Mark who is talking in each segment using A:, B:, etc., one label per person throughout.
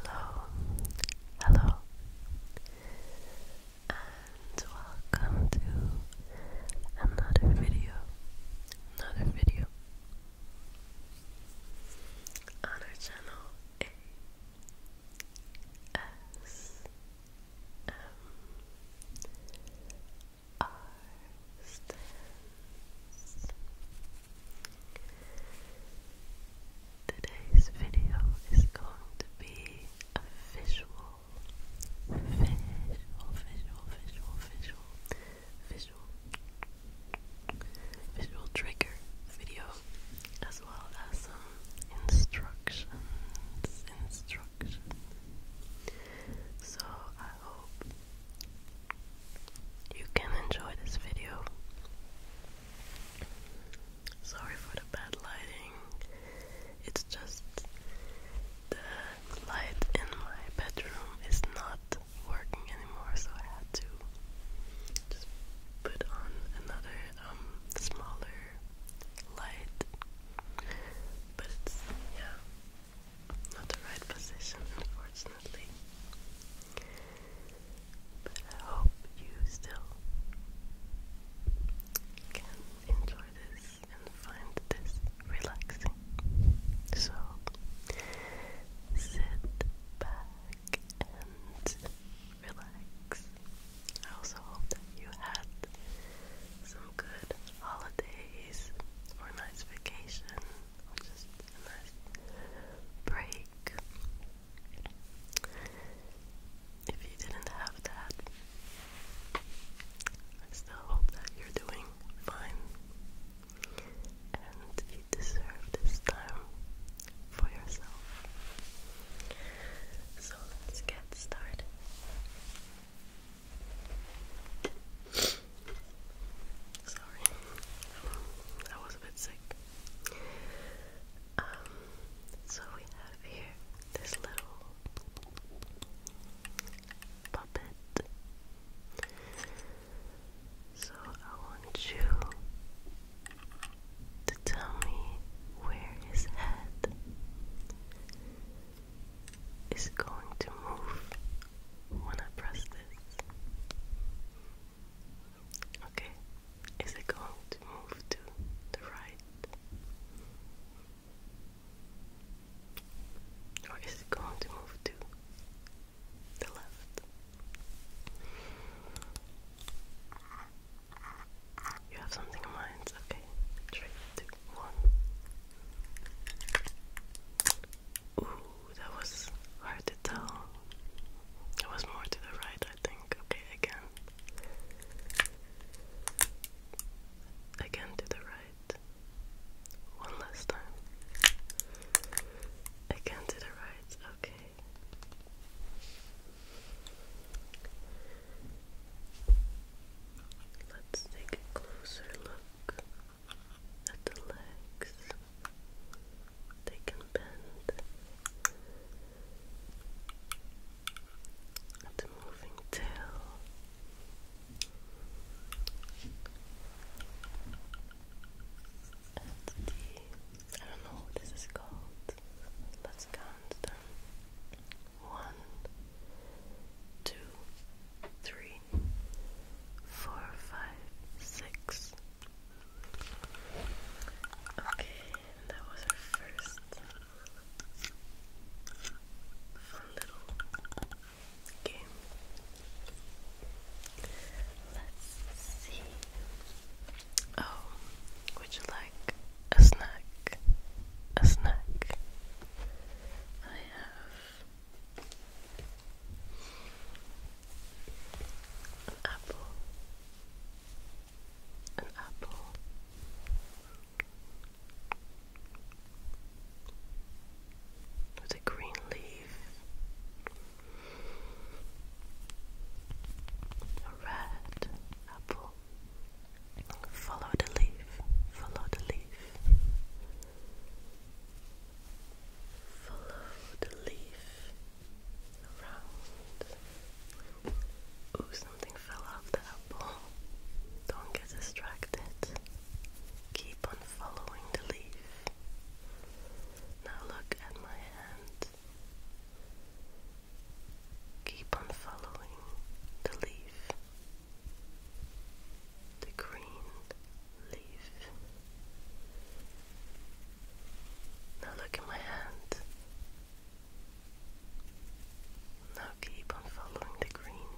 A: Hello, hello, and welcome to another video. Another video on our channel A S M R Today's video is going to be a visual, visual, visual, visual, visual, visual, visual trigger video, as well as some instructions, instructions. So I hope you can enjoy this video. Sorry for the bad lighting, it's just the light in my bedroom is not working anymore, so I had to just put on another um smaller light. But it's yeah, not the right position, unfortunately. I hope you still can enjoy this and find this relaxing. So sit back and relax. I also hope that you had some good holidays or nice vacation I'll just a nice break. If you didn't have that, I still hope that you're doing fine. And you deserve this time for yourself. So let's get started. Sorry, I was a bit sick. Um, so we have here this little puppet. So I want you to tell me where his head is going to move when I press this. Okay, is it going to move to the right? Or is it going to move to the left? You have something in mind? Okay, three, two, one that was hard to tell. It was more to the right, I think. Okay, again. Again to the right. One last time. Again to the right, okay. Let's take a closer look at the legs. They can bend at the moving tail. At the, I don't know what this is called. Let's count them. One, two, three, four, five, six, Okay, that was our first fun little game. Let's see. Oh, would you like a snack? A snack. I have an apple. An apple. With a green leaf. A red apple. Follow the leaf. Follow the leaf. Follow the leaf around. Ooh, something fell off the apple. Don't get distracted. Keep on following the leaf. Now look at my hand. Keep on following the leaf. The green leaf. Now look at my hand. Now keep on following the green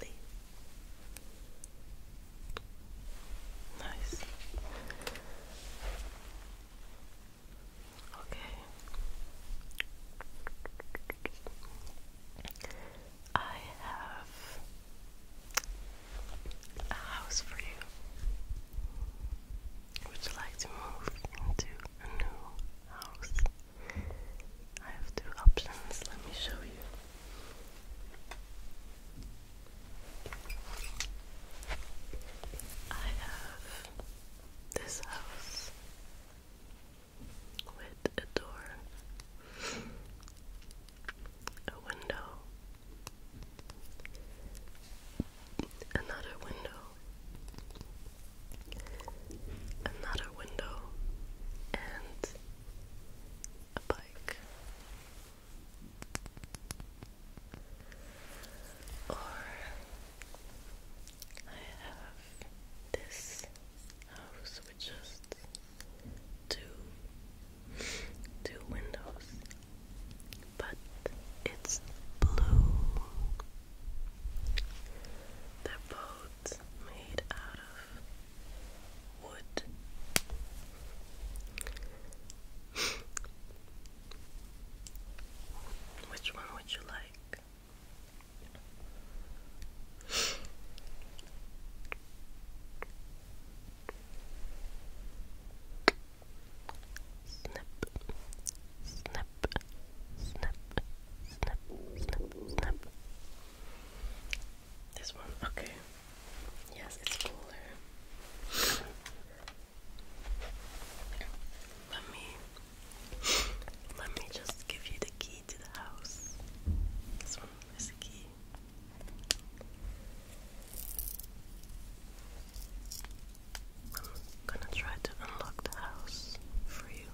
A: leaf. Nice. Okay. I have a house for you. Would you like to move into a new house? I have two options. Let me show you. I have this house with a door, a window, Another window. Another window. And a bike. Or I have this house with just two two windows but it's blue they're both made out of wood which one would you like? Snip, snip, snip, snip, snip, snip. This one, okay. Yes, it's cooler. let me, let me just give you the key to the house. This one is the key. I'm gonna try to unlock the house for you.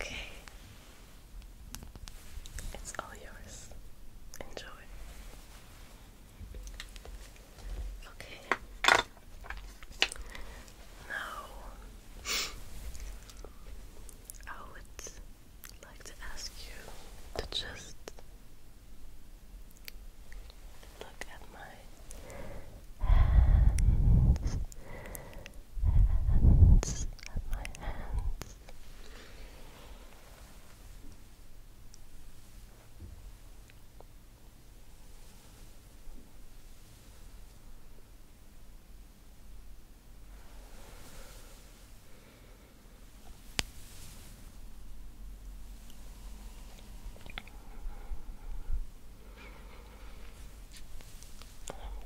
A: Okay. It's all yours. Enjoy. Okay. Now, I would like to ask you to just look at my hands, hands, at my hands. I'm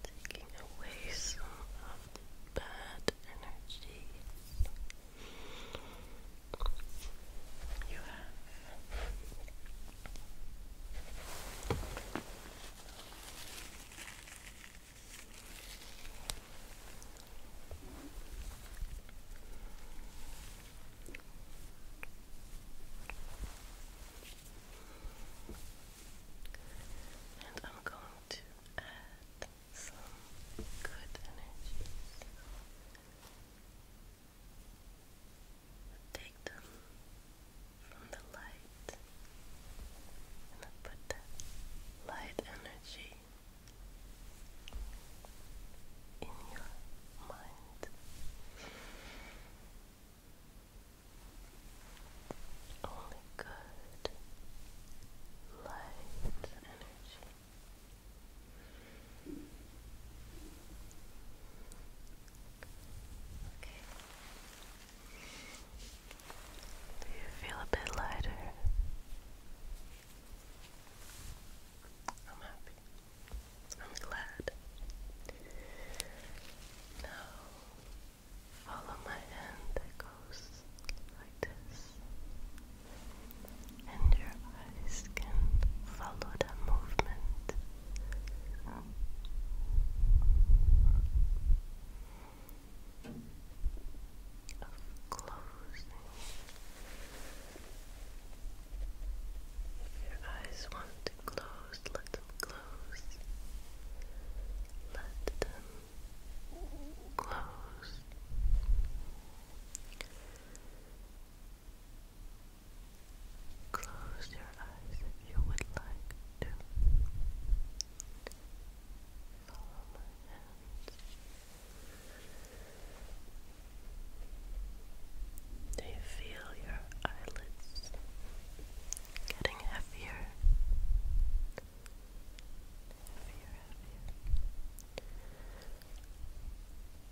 A: taking away some of the bad energy you have. And I'm going to add some good energies Take them from the light and put the light energy in your mind. Only good light energy. Okay. you feel a bit lighter? I'm happy. I'm glad. Now, follow my hand that goes like this, and your eyes can follow the movement. Of closing. If your eyes want to close, let them close. Let them close. Close your eyes if you would like to. Follow my hands. Do you feel your eyelids getting heavier? Heavier, heavier.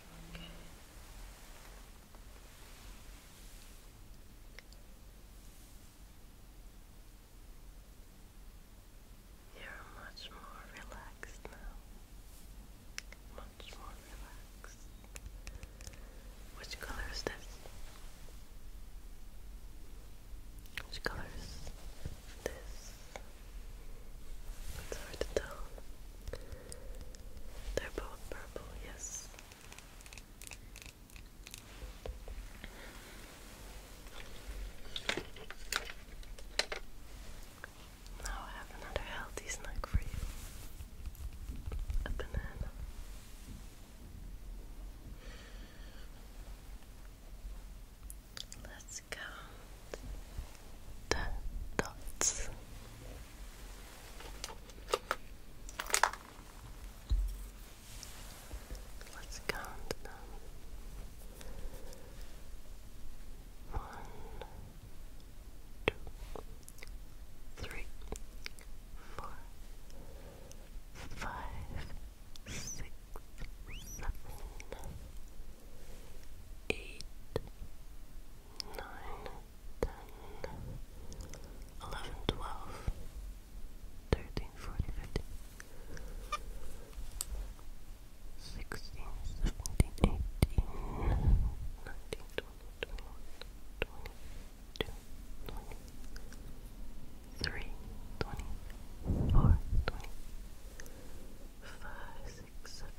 A: Okay. You're much more relaxed now. Much more relaxed. Which color is this? Which color is this? It's hard to tell. They're both purple, yes. Now I have another healthy snack for you. A banana. Let's go the dots. Let's count them. One, two, three, four, five, six, seven, eight, nine, ten, eleven, twelve, thirteen, fourteen, fifteen, sixteen, seventeen, eighteen, nineteen, six, seven.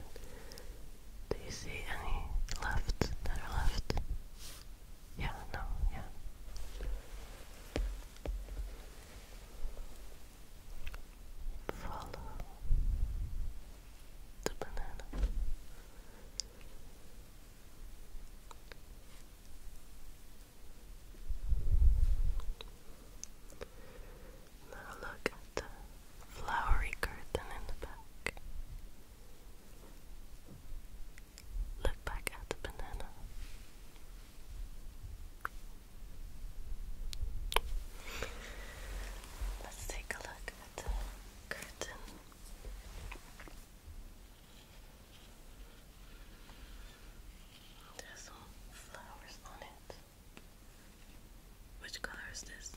A: Do you see any left that are left? Yeah, no, yeah. Follow the banana look at the flowery curtain in the back. Look back at the banana. Let's take a look at the curtain. There's some flowers on it. Which color is this?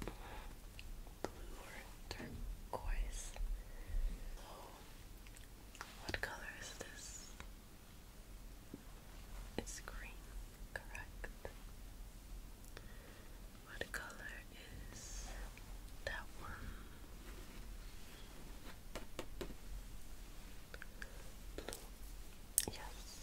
A: Blue or turquoise? what color is this? It's green, correct. What color is that one? Blue. Yes.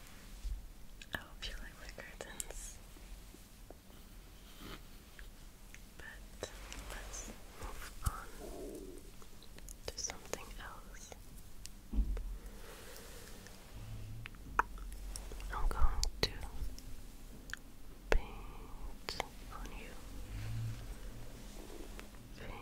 A: I hope you like my curtains. But let's move on to something else. I'm going to paint on you. Paint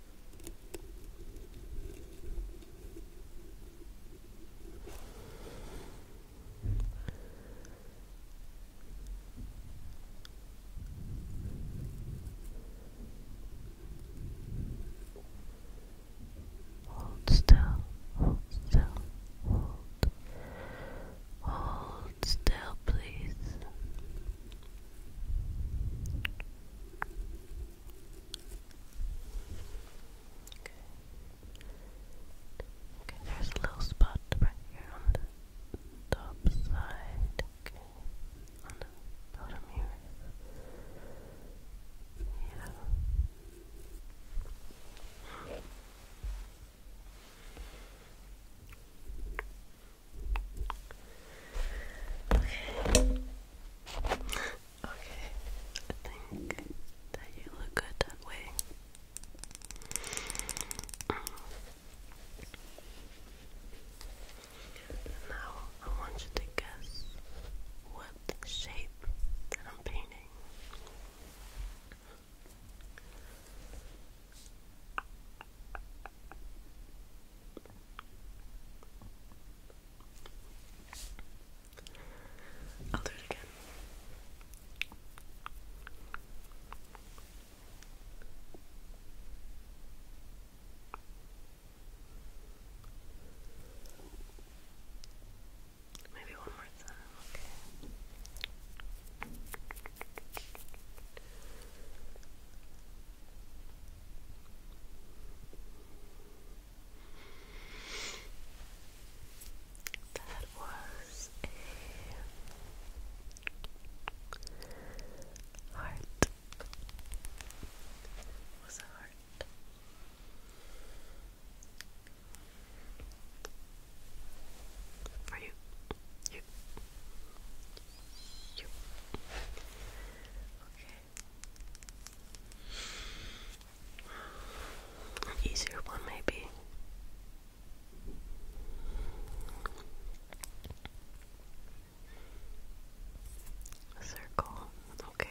A: Hold still, hold still, hold. Hold still, please. Okay. Okay, there's a little spot right here on the top side. Okay. On the bottom here. Yeah. Okay. Okay. I think that you look good that way. now I want you to guess what shape that I'm painting. I'll do it again. Maybe one more time, okay. That was a heart. was a heart. For you, you, you easier one, maybe. A circle, okay.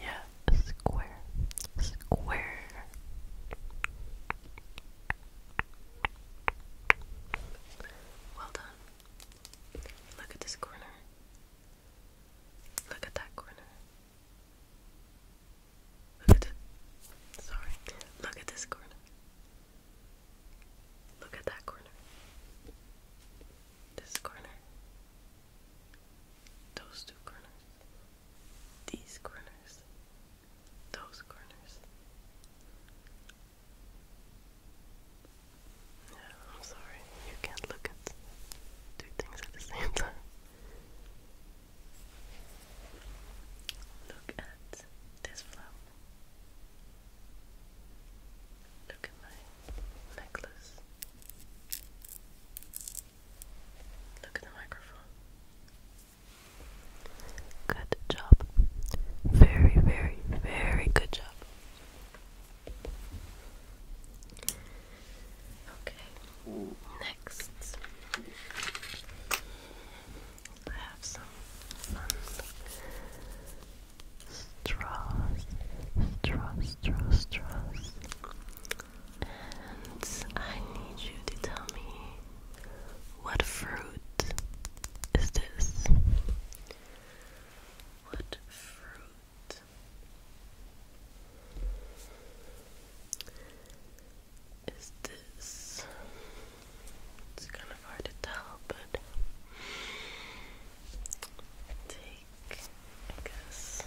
A: Yeah, a square, square. Well done. Look at this corner. Look at that corner. Sorry. Look at this corner. Look at that corner. This corner. Those two corners. These corners. Those corners. Yeah, I'm sorry. You can't look at two things at the same time. Look at this flower. Look at my necklace. Look at the microphone. Good job. Very, very, very good job. Okay. Next, I have some straws, straws, straws, straws, and I need you to tell me what fruit is this? What fruit? is this. It's kind of hard to tell, but take, guess,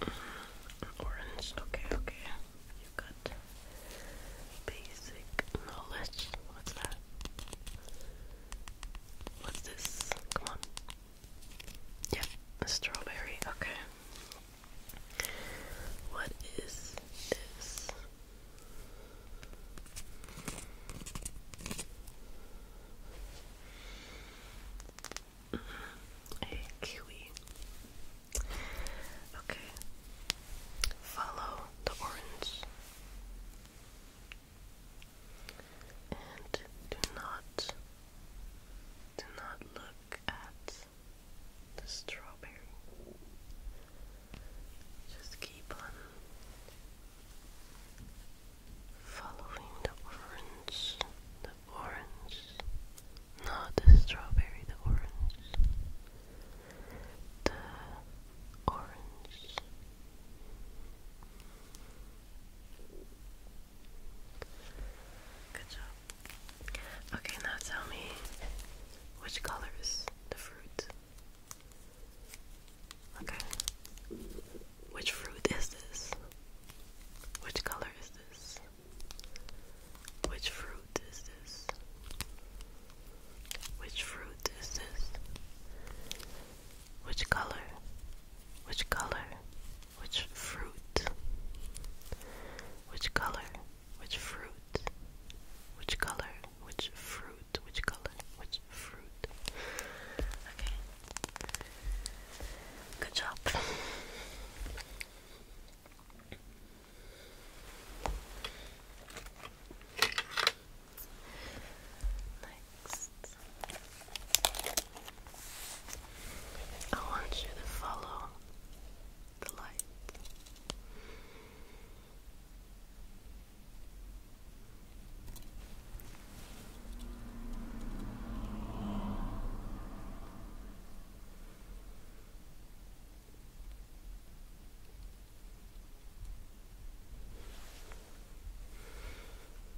A: mm, orange. Okay, okay. you basic knowledge. What's that? What's this? Come on. Yep, strawberry. Okay. What is this? Mm-hmm, kiwi. Okay. Follow the orange. And do not do not look at the strawberry. Just keep on following the orange, the orange, not the strawberry, the orange, the orange. Good job. Okay, now tell me which color is the fruit? Okay. Which fruit is this? Which color is this? Which fruit is this? Which fruit is this? Which color? Which color? Which fruit? Which color? Which fruit? Which color? Which fruit? Which color? Which fruit? Okay. Good job next. I want you to follow the light.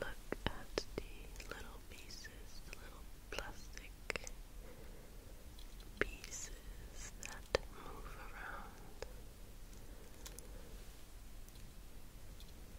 A: Look at the little pieces, the little plastic pieces that move around.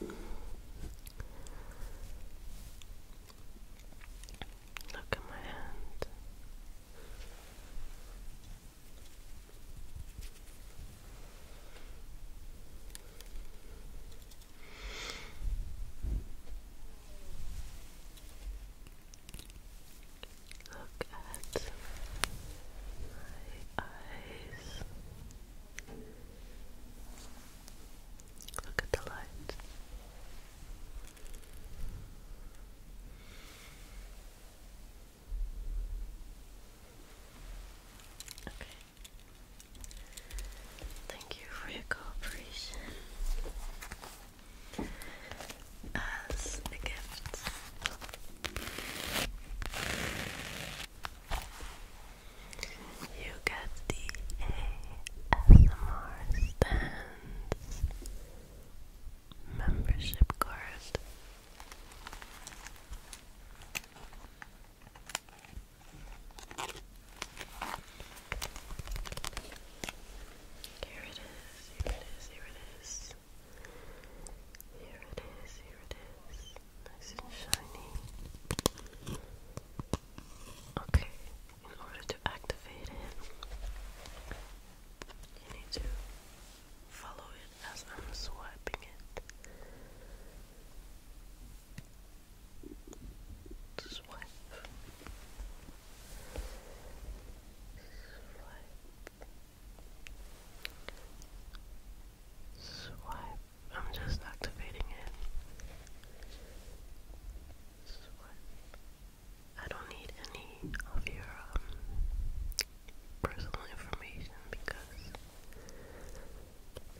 A: Look at my hand. Look at my eyes. Look at the light. Okay. Thank you for your cooperation. As a gift. You get the ASMR stands membership card. Here it is, here it is, here it is. Here it is, here it is. Nice and shiny. Okay, in order to activate it, you need to follow it as I'm swiping it. Swipe. Swipe. Swipe. I'm just activating it. Swipe. I don't need any of your um, personal information because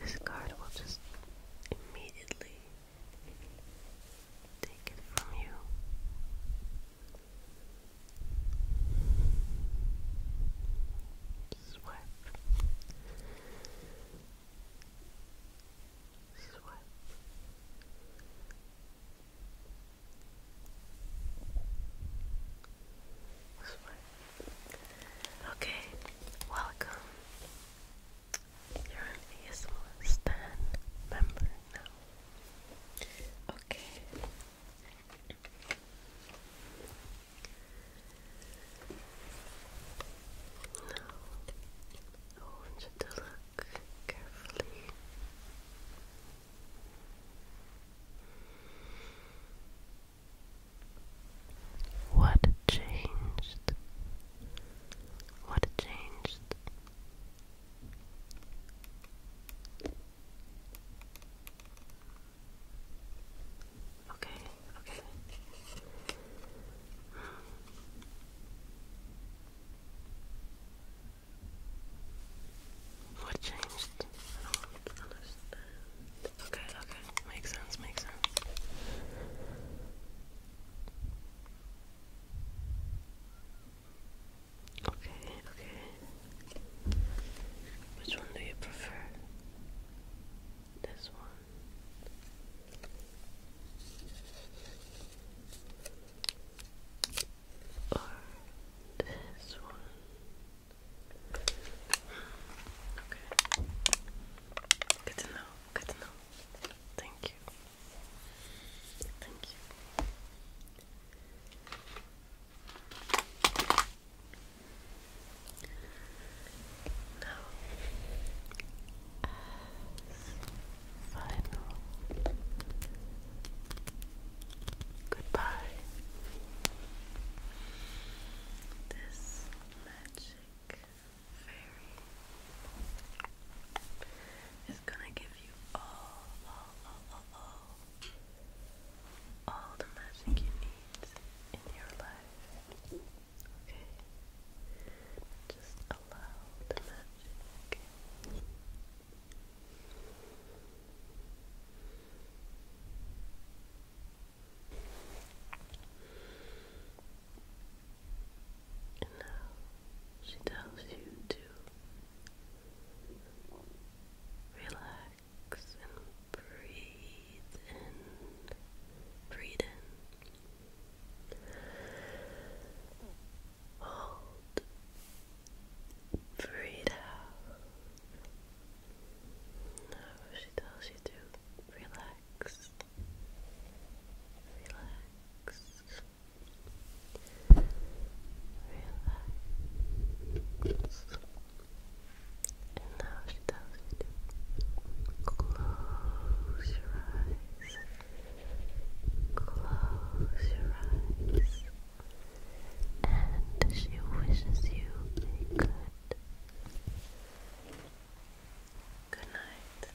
A: this card will just immediately take it from you swipe, swipe. Okay, welcome. You're an ASMR Stan member now. Okay, want you to look carefully. What changed? What changed? Okay, okay. What changed? Okay, okay. Makes sense, makes sense. Okay, okay. Which one do you prefer? This one. Or this one. Okay. Good to know. Good to know. Thank you. Thank you. Now, final goodbye, this magic fairy is gonna give you all all the magic you need in your life. Okay? Just allow the magic. And now she tells you to relax relax and breathe in. Breathe in. Hold. Breathe out. Now she tells you to relax. Relax. Relax. And now she tells you to close your eyes. Close your eyes. And she wishes you good good night.